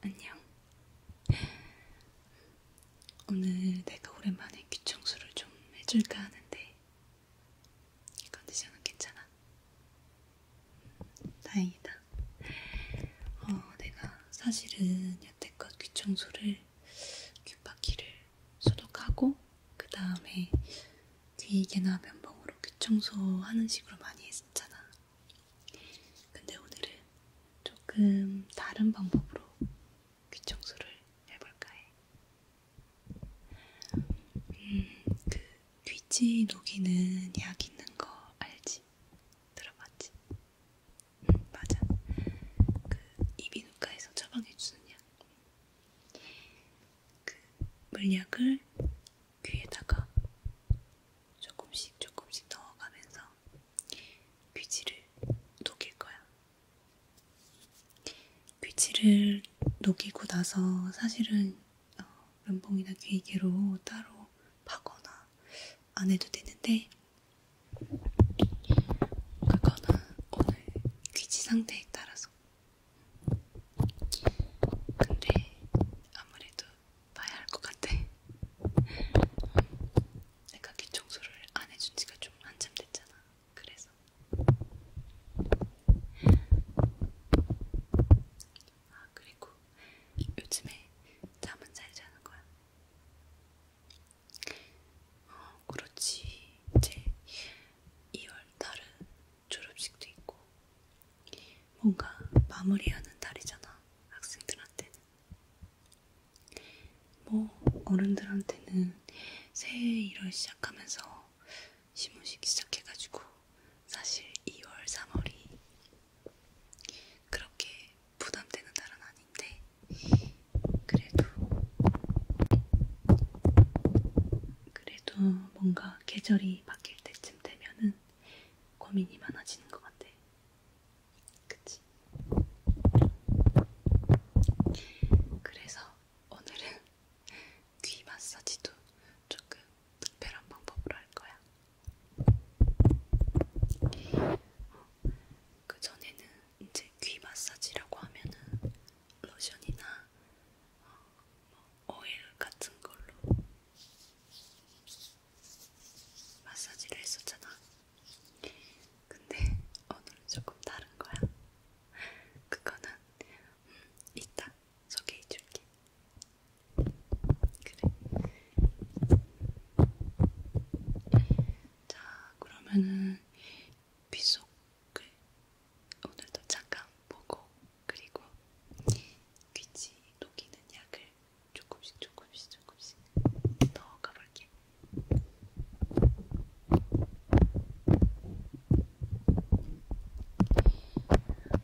안녕. 오늘 내가 오랜만에 귀청소를 좀 해줄까 하는데 컨디션은 괜찮아? 음, 다행이다. 어, 내가 사실은 여태껏 귀청소를 귓바퀴를 소독하고 그 다음에 뒤이개나 면봉으로 귀청소하는 식으로 많이 했었잖아. 근데 오늘은 조금 다른 방법으로 귀청소를 해볼까 해. 음, 그 귀지 녹이는 약 있는 거 알지? 들어봤지? 음, 맞아. 그 이비인후과에서 처방해주는 약. 그 물약을 귀에다가 조금씩 조금씩 넣어가면서 귀지를 녹일 거야. 귀지를 녹이고 나서 사실은 어, 면봉이나 귀이개로 따로 파거나 안 해도 되는데 그거는 오늘 귀지 상태에 따라서 근데 아무래도 봐야 할 것 같아. 내가 귀 청소를 안 해준 지가 좀 한참 됐잖아. 그래서 아 그리고 요즘에 잠은 잘 자는 거야. 어, 그렇지. 이제 2월달은 졸업식도 있고 뭔가 마무리하는 달이잖아 학생들한테는 뭐 어른들한테는 새해 일을 시작하면서 시무시기 시작해가지고 사실 2월 3월이 그렇게 부담되는 달은 아닌데 그래도 그래도 뭔가 계절이 바뀔 때쯤 되면은 고민이 많아지는 것 같아. 그치? 그래서 오늘은 귀 마사지도 조금 특별한 방법으로 할 거야. 어, 그 전에는 이제 귀 마사지라고 하면은 로션이나 오일 같은 걸로 마사지를 했었잖아. 근데 오늘은 조금 다른 거야. 그거는 음, 이따 소개해줄게. 그래. 자, 그러면은 비속 글 그 오늘도 잠깐 보고 그리고 귀치 녹이는 약을 조금씩 조금씩 조금씩 넣어가 볼게.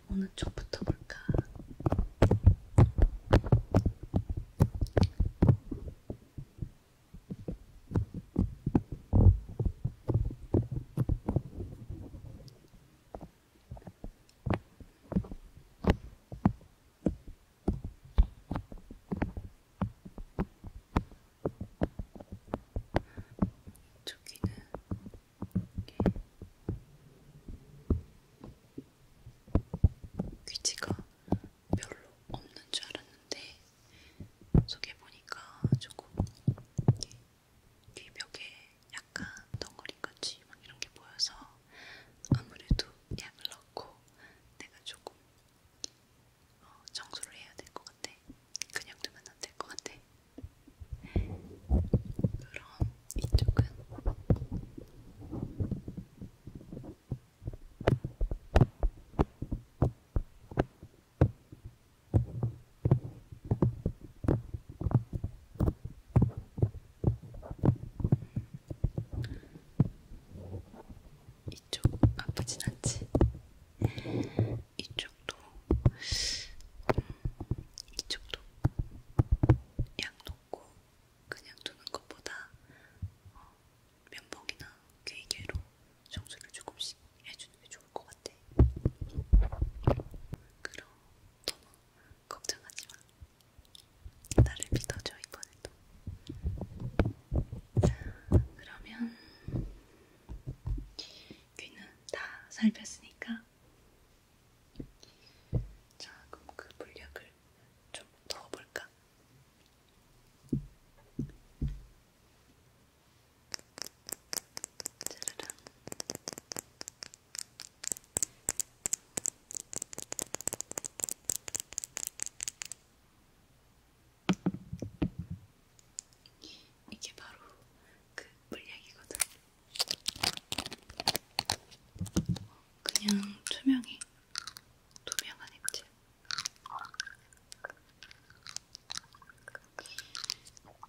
어느 쪽부터 볼까? 저기는 이렇게 귀지가 별로 없는 줄 알았는데 속에보니까 조금 뒤벽에 약간 덩어리같이 막 이런게 보여서 아무래도 약을 넣고 내가 조금 어, 청소를 해야 될 것 같아. 그냥 두면 안될것 같아. 그럼 이쪽은 이쪽 아프진 않지? 이쪽도 음, 이쪽도 약 넣고 그냥 두는 것보다 어, 면봉이나 귀개로 청소를 조금씩 해주는 게 좋을 것 같아. 그럼 너무 걱정하지 마. 나를 믿어줘 이번에도. 그러면 귀는 다 살폈으니까. 자, 그럼 그 물약을 좀 넣어볼까? 짜라란 이게 바로 그 물약이거든. 그냥 투명해. 투명한 액체.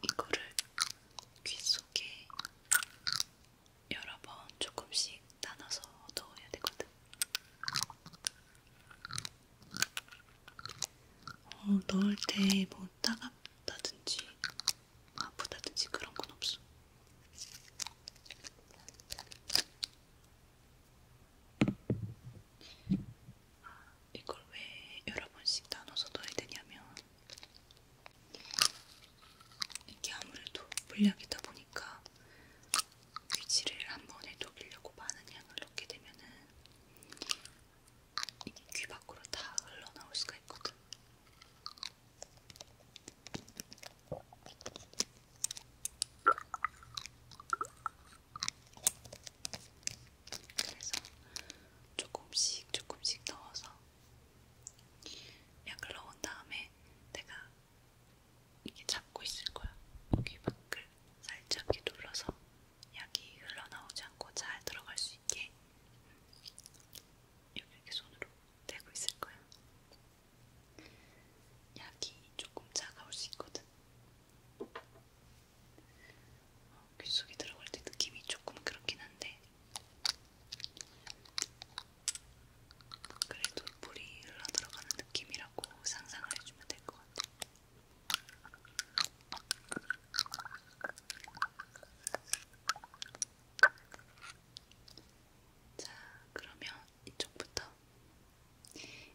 이거를 귀 속에 여러 번 조금씩 나눠서 넣어야 되거든. 어, 넣을 때 뭐 따갑다든지 아프다든지 그런 건 없어. 이걸 왜 여러 번씩 나눠서 넣어야 되냐면 이게 아무래도 물약이다 보니까 귀지를 한 번에 녹이려고 많은 양을 넣게 되면은 이게 귀 밖으로 다 흘러나올 수가 있거든. 그래서 조금씩 조금씩 넣어서 약을 넣은 다음에 내가 이게 잡고 있을 거야. 여기 밖을 살짝 이렇게 눌러서 약이 흘러나오지 않고 잘 들어갈 수 있게 여기 이렇게 손으로 대고 있을 거야. 약이 조금 차가울 수 있거든. 귓속에 들어갈 때 느낌이 조금 그렇긴 한데 그래도 물이 흘러 들어가는 느낌이라고 상상을 해주면 될 것 같아요. 자, 그러면 이쪽부터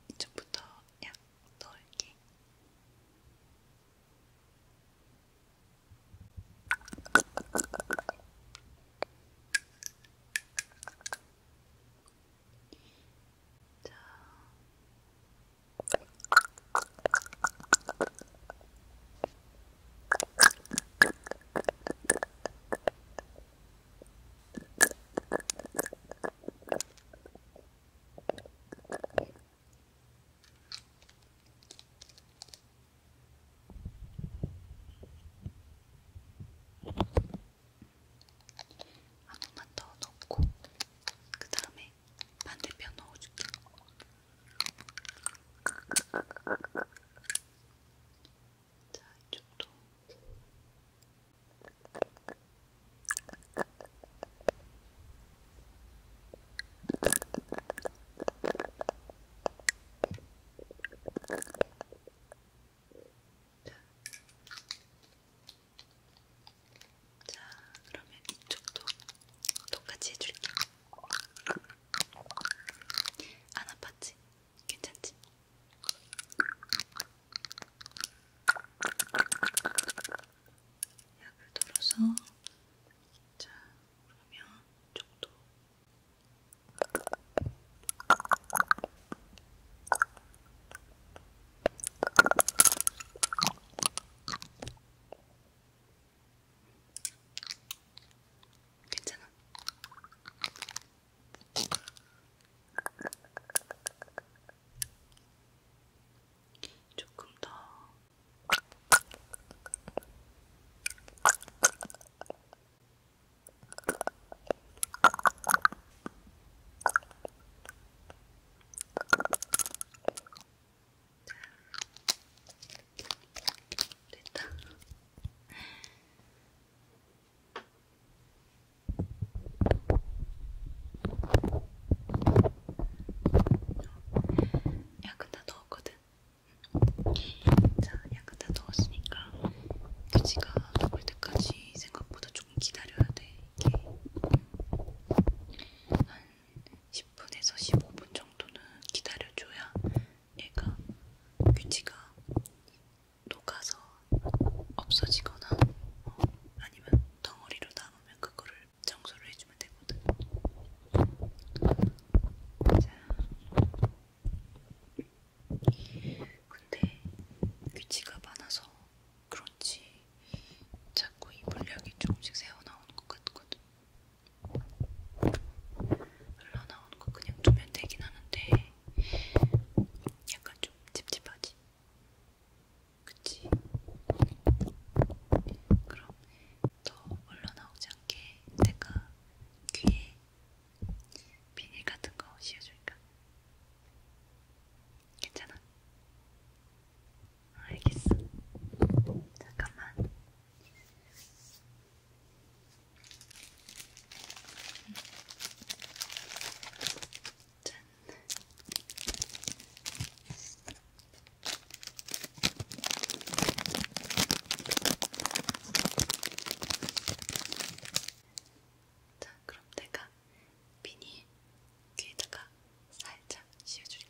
이쪽부터 약 넣을게. 자. 한 번만 더 넣고 그 다음에 반대편 넣어줄게. 자, 이쪽도. 자, 그러면 이쪽도 똑같이 해줄게. 안 아팠지? 괜찮지? 약을 덜어서 자 그러면 이쪽도 괜찮아. 조금 더 됐다. 약간 다 넣었거든. 자, 약간 다 넣었으니까 돼지가 녹을 때까지 생각보다 조금 기다려야 돼. 이게 한 10분에서 15분 정도는 기다려줘야 얘가 돼지가 녹아서 없어지거나 어, 아니면 덩어리로 남으면 그거를 청소를 해주면 되거든. 자, 근데 규칙가 그 많아서 그런지 자꾸 이 물량이 조금씩 새어 나오는 것 같거든. 흘러 나오는 거 그냥 두면 되긴 하는데 약간 좀 찝찝하지. 그치? 그럼 더 올라나오지 않게 내가 귀에 비닐 같은 거 씌워줄까? 괜찮아? 알겠어. 잠깐만. 음. 짠. 자, 그럼 내가 비닐 귀에다가 살짝 씌워줄게.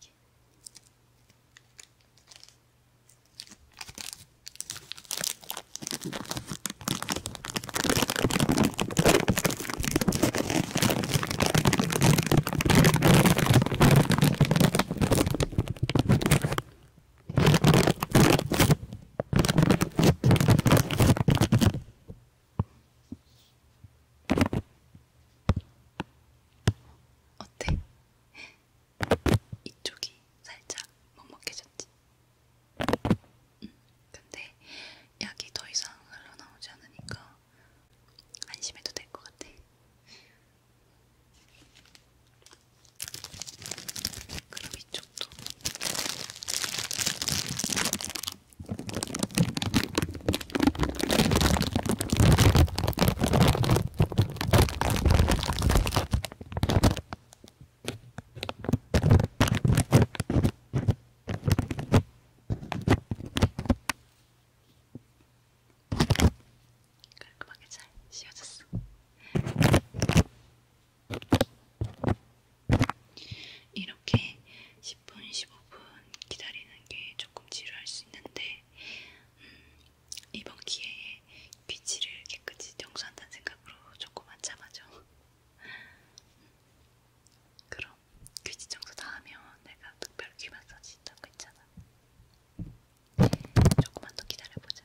어때? 이쪽이 살짝 먹먹해졌지? 응. 근데 약이 더 이상 흘러나오지 않으니까 안심해도 될 것 같아. 그럼 이쪽도. 깔끔하게 잘 씌워졌어. 이렇게 10분, 15분 기다리는 게 조금 지루할 수 있는데 음, 이번 기회에 귀치를 깨끗이 청소한다는 생각으로 조금만 참아줘. 음, 그럼 귀지 청소 다 하면 내가 특별 귀 마사지 있다고 했잖아. 조금만 더 기다려보자.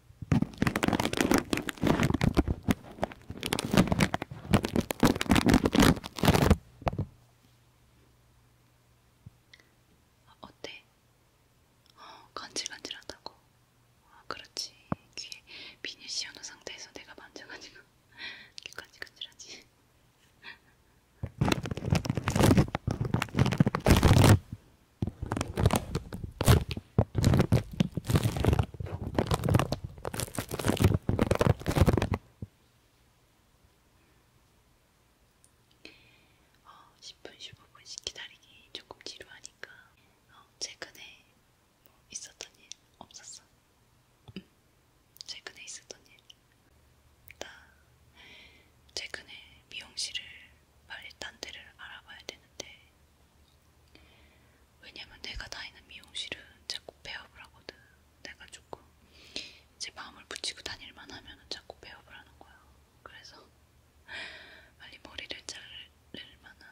아, 어때? 어, 간질간질하다고. 아, 그렇지. 귀에 비닐 씌워놓은 상태에서 내가 만져가지고 귀 간질간질하지. 어, 10분, 15분씩 기다리기 조금 지루하니까 어, 최근에 뭐 있었던 일 없었어? 응. 최근에 있었던 일? 나 최근에 미용실을 빨리 딴 데를 알아봐야 되는데 왜냐면 내가 다니는 미용실은 자꾸 배업을 하거든. 내가 조금 이제 마음을 붙이고 다닐만 하면 자꾸 배업을 하는 거야. 그래서 빨리 머리를 자를 만한,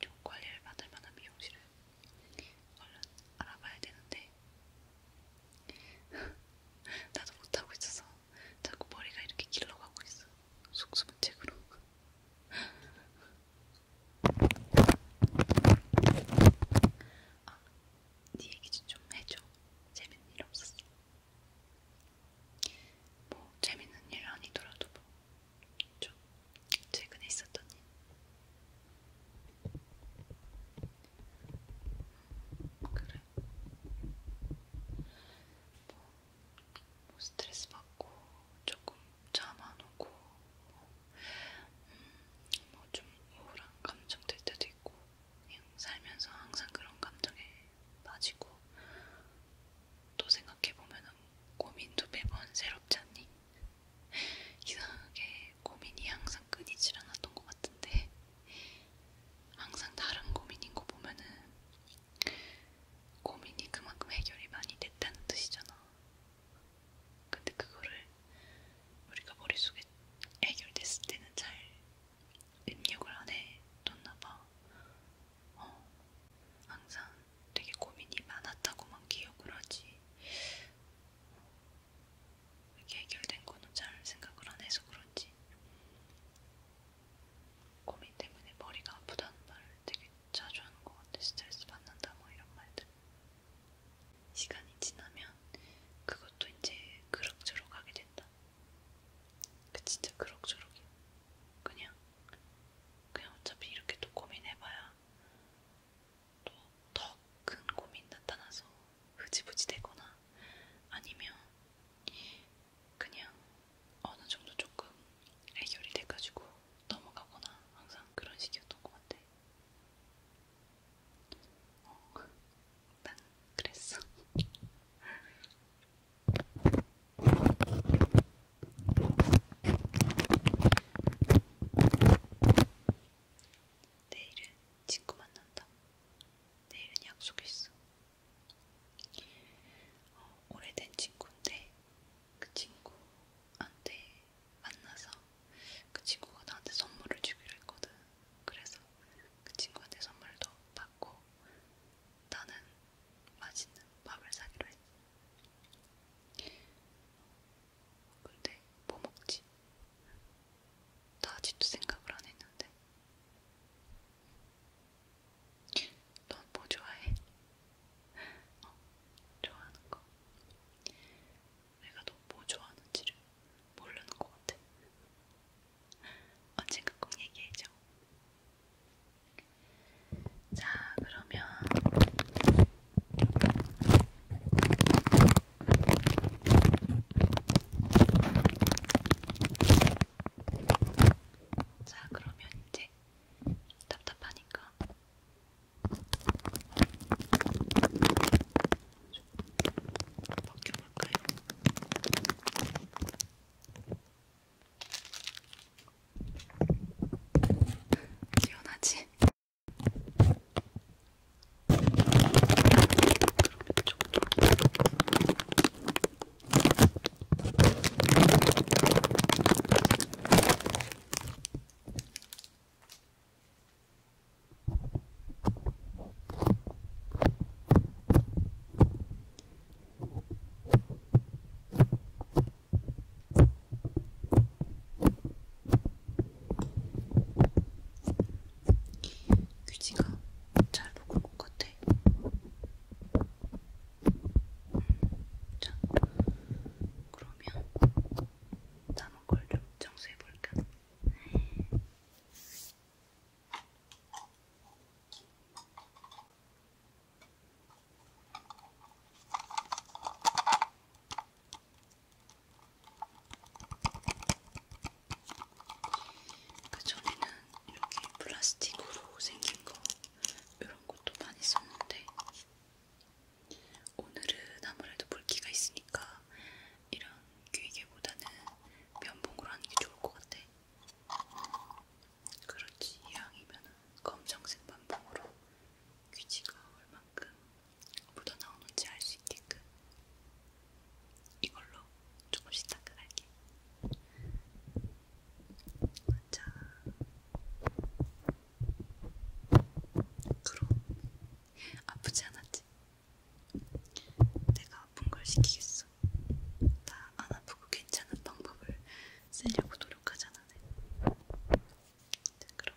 좀 관리를 받을 만한 미용실을 얼른 알아봐야 되는데 나도 못하고 있어서 자꾸 머리가 이렇게 길러가고 있어. 속수무책으로. 아, 네 얘기 좀 해줘. 재밌는 일 없었어. 뭐 재밌는 일 아니더라도 뭐좀 최근에 있었던 일. 음, 그래. 뭐뭐 스트레스 받고 조금 잠 안 오고 뭐좀 음, 뭐 우울한 감정 들 때도 있고 그냥 살면서 항상 그런 감정에 빠지고 또 생각해보면 고민도 매번 새롭지 않니? 이상하게 고민이 항상 끊이질 않았던 것 같은데 항상 다른 고민인 거 보면은 고민이 그만큼 해결이 많이 됐다는 뜻이잖아. 근데 그거를 우리가 머릿속에 해결됐을 때는 잘 입력을 안 해뒀나봐. 어, 항상 되게 고민이 많았다고만 기억을 하지. 이게 해결된 거는 잘 생각을 안 해서 그런지. 고민 때문에 머리가 아프다는 말을 되게 자주 하는 것 같아. 스트레스 받는다 뭐 이런 말들. 시간이 지나면 그것도 이제 그럭저럭 하게 된다. 그 진짜 그럭저럭이야. 그냥 그냥 어차피 이렇게 또 고민해봐야 또 더 큰 고민 나타나서 흐지부지 되거나 아니면 그냥 어느 정도 조금 해결이 돼가지고 넘어가거나 항상 그런 식이었던 것 같아. 어, 난 그랬어. 내일은 친구 만난다. 내일은 약속있어. 어, 오래된 친구인데 그 친구한테 만나서 그 친구가 나한테 선물을 주기로 했거든. 그래서 그 친구한테 선물도 받고 나는 맛있는 밥을 사기로 했어. 근데 뭐 먹지? 나 아직도 생각을 안 했는데. 넌 뭐 좋아해? 어, 좋아하는 거. 내가 너뭐 좋아하는지를 모르는 것 같아. 언젠가 꼭 얘기해줘. 자, 그러면. 자, 그러면 이제 답답하니까 시원하지? 그럼 이쪽으로 귀지가 잘 먹은 것 같아. 자, 그러면 남은 걸좀 정수해 볼까? 그전에는 이렇게 플라스틱으로 생긴 거 이런 것도 많이 썼는데 오늘은 아무래도 물기가 있으니까 이런 귀이개보다는 면봉으로 하는 게 좋을 것 같아. 그렇지, 이왕이면 검정색 면봉으로 귀지가 얼만큼 묻어나오는지 알 수 있게끔 이걸로 조금씩 닦아갈게. 자, 그럼 아프지 않았지? 내가 아픈 걸 시키겠어. 나 안 아프고 괜찮은 방법을 쓰려고 노력하잖아. 네. 자, 그럼.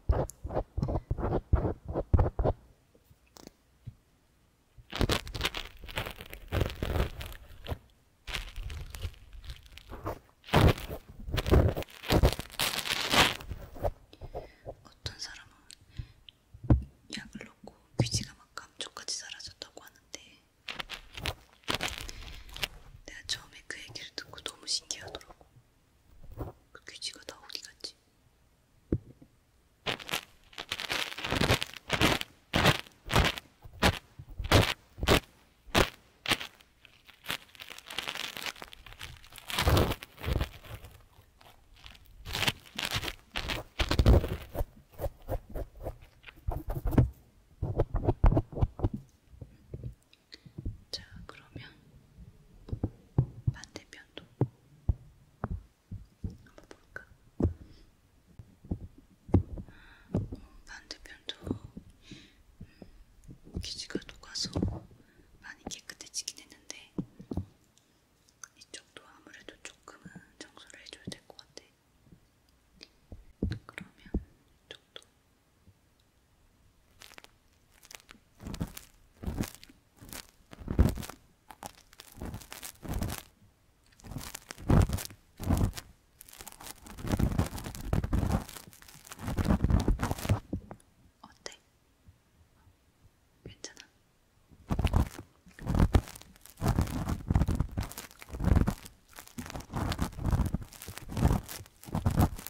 어떤 사람은 약을 넣고 귀지가 막 감쪽같이 사라졌다고 하는데 내가 처음에 그 얘기를 듣고 너무 신기하더라고. 그 귀지가 다 어디 갔지? 자, 그러면 반대편도 한번 볼까? 어, 반대편도 음, 기지가 녹아서 많이 깨끗해지긴 했는데 이쪽도 아무래도 조금은 청소를 해줘야 될 것 같아. 그러면 이쪽도 어때? 괜찮아?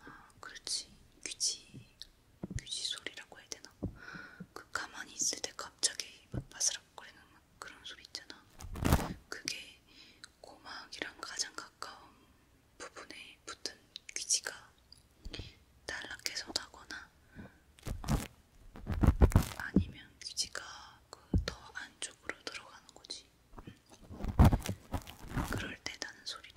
아, 그렇지. 귀지, 귀지 소리라고 해야 되나? 그 가만히 있을 때 갑자기 막 바스락거리는 그런 소리 있잖아. 그게 고막이랑 가장 가까운 부분에 붙은 귀지가 단락해서 나거나 어, 아니면 귀지가 그 더 안쪽으로 들어가는 거지. 그럴 때 나는 소리래.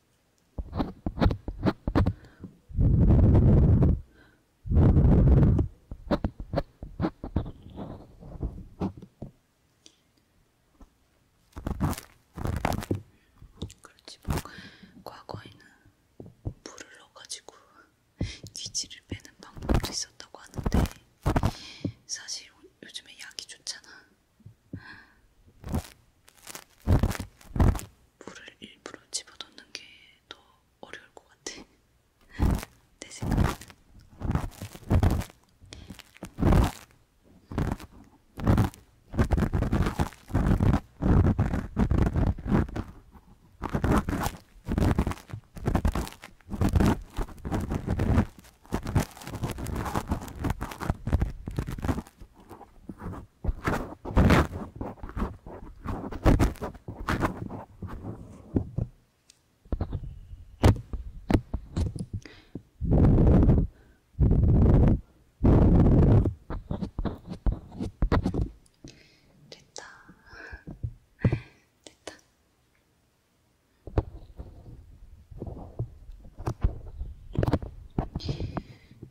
그렇지 뭐 과거에는 물을 넣어가지고 귀지를 빼는 방법도 있었다고 하는데 사실 요즘에 약이 좋잖아. 물을 일부러 집어넣는 게 더 어려울 것 같아. 내 생각에는. 됐다. 됐다.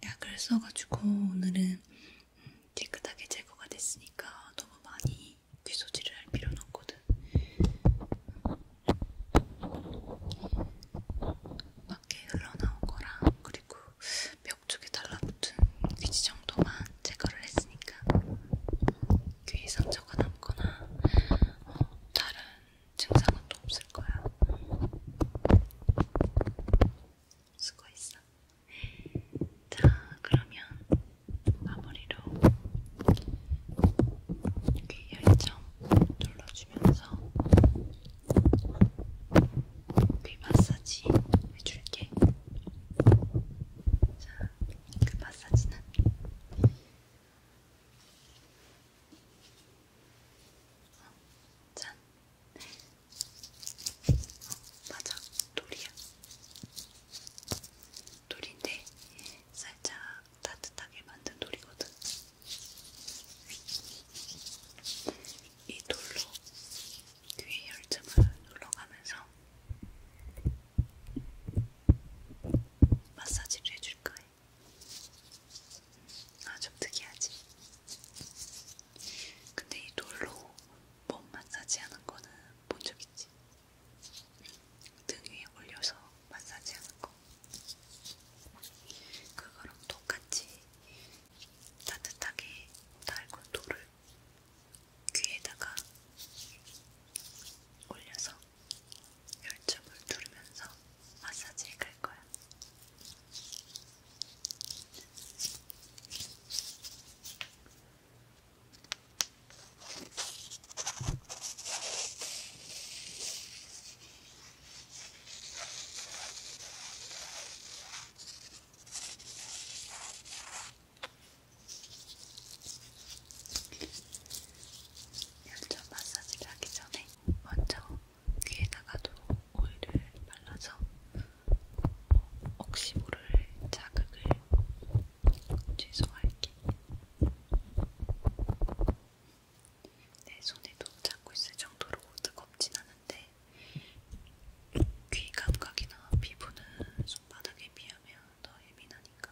약을 써가지고 오늘은 깨끗하게 제거가 됐으니까 너무 많이 귀소질을 할 필요는 없거든. 밖에 흘러나온 거랑 그리고 벽 쪽에 달라붙은 귀지 정도만 제거를 했으니까 귀에 상처가 남거나 어, 다른 증상은 또 없을 거야. 음. 수고했어. 자, 그러면 마무리로 귀 열정 눌러주면서 귀 마사지 해줄게. 자, 그 마사지는 어? 잔 맞아, 돌이야. 돌인데 살짝 따뜻하게 만든 돌이거든. 이 돌로 귀의 열점을 눌러가면서 마사지를 해줄 거예요. 아좀 특이하지? 근데 이 돌로 몸 마사지 하는 거는 본 적 있지? 등 위에 올려서 마사지 하는 거 그거랑 똑같이 따뜻하게 달군 돌을 귀에다가 올려서 열점을 두르면서 마사지 갈 거야. 열전 마사지를 하기 전에 먼저 귀에다가도 오일을 발라서 혹시 모를 자극을 최소화할게. 내 손에도 잡고 있을 정도로 뜨겁진 않은데 귀 감각이나 피부는 손바닥에 비하면 더 예민하니까.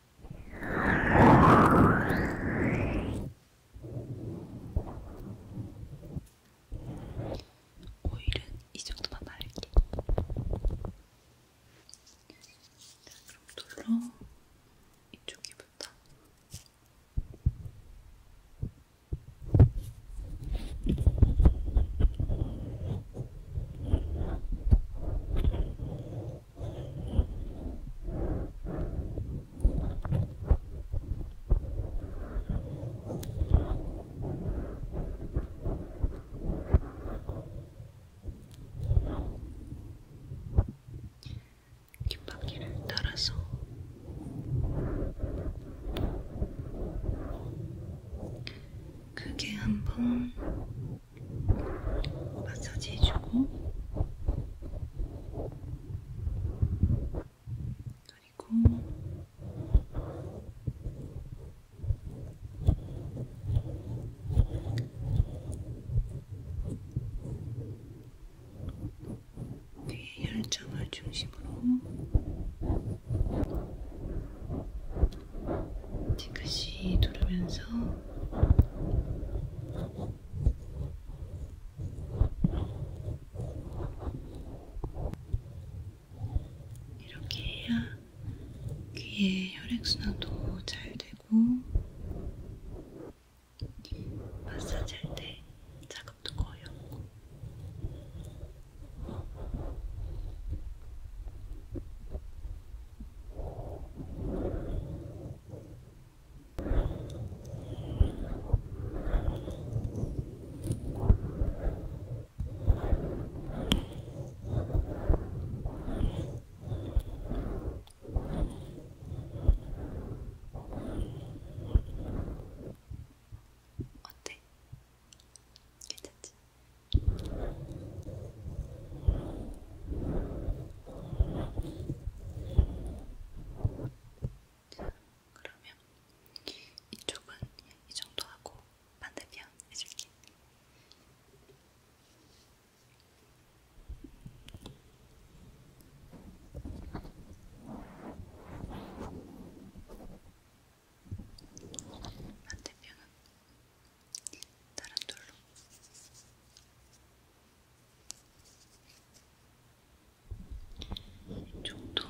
오일은 이 정도만 바를게. 자, 그럼 돌로 이쪽 귀부터. 뒷바퀴를 따라서 크게 한번 마사지해주고 그리고 뒤에 혈점을 중심으로 지그시 두르면서 이렇게 해야 귀의 혈액순환도 잘 되고 마사지 할때 자극도 거의 없고 어때? 괜찮지? 자, 그러면 이쪽은 이 정도 하고 반대편 해줄게. 반대편은 다른 돌로. 이쪽도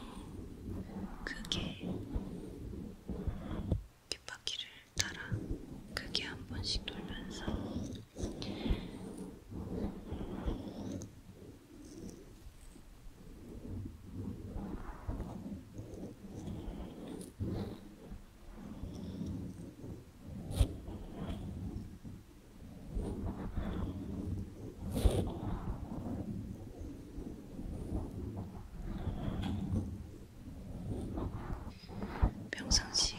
크게 귓바퀴를 따라 크게 한 번씩 돌면서 평상시에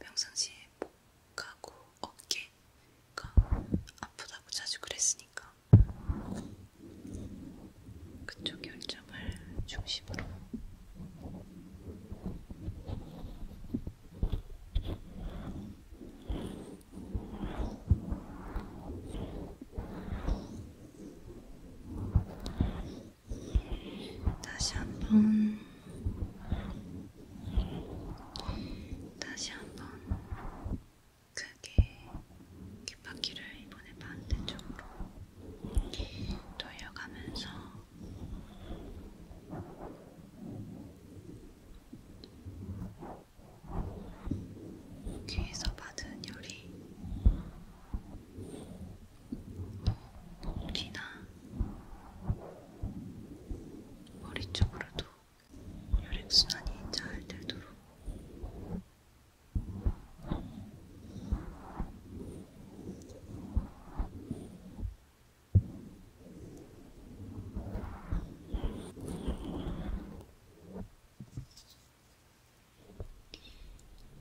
평상시에 목하고 어깨가 아프다고 자주 그랬으니까 그쪽 결점을 중심으로 다시 한번 다시 한 번 크게 귓바퀴를 이번에 반대쪽으로 돌려가면서 귀에서 받은 열이 귀나 머리 쪽으로도 혈액순환이 잘 되도록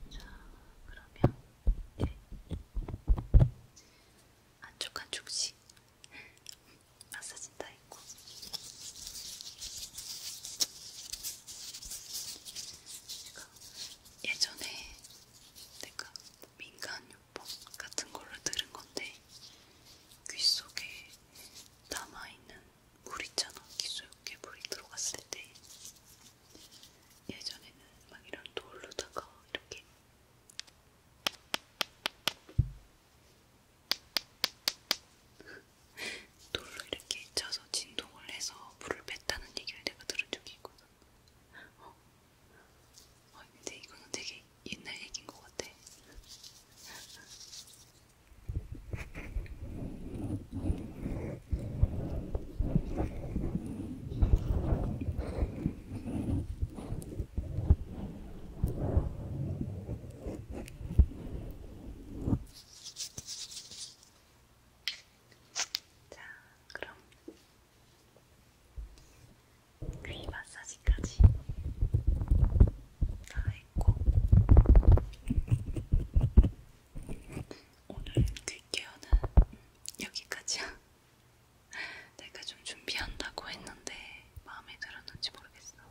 자, 그러면 이제 안쪽 한쪽씩 마사지 다 있고. 예전에 내가 민간 뭐 같은 걸로 들은 건데 귀 속에 남아있는 물 있잖아. 귀 속에 물이 들어갔을 때 예전에는 막 이런 돌로다가 이렇게 돌로 이렇게 쳐서 진동을 해서 물을 뺐다는 얘기를 내가 들은 적이 있거든. 어. 어, 근데 이거는 되게 옛날 얘기인 것 같아. 자, 그럼 귀 마사지까지 다 했고 오늘 귀 그 케어는 여기까지야. 내가 좀 준비한다고 했는데 마음에 들었는지 모르겠어.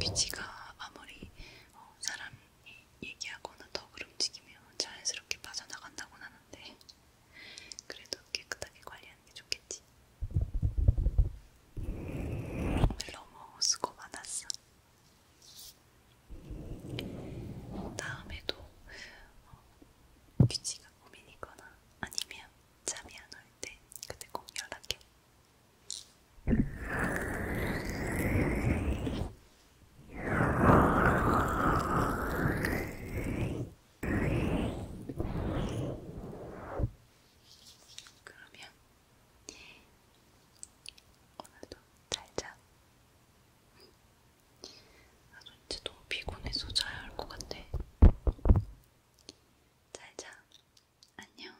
귀치가 아무리 어, 사람 얘기하거나 덕을 움직이면 자연스럽게 빠져나간다고는 하는데 그래도 깨끗하게 관리하는 게 좋겠지. 오늘 너무 수고 많았어. 다음에도 어, 귀지가 고민이거나 아니면 잠이 안 올 때 그때 꼭 연락해. 그러면 오늘도 잘자. 아, 진짜 너무 피곤해서 자야 할 것 같아. 잘자. 안녕.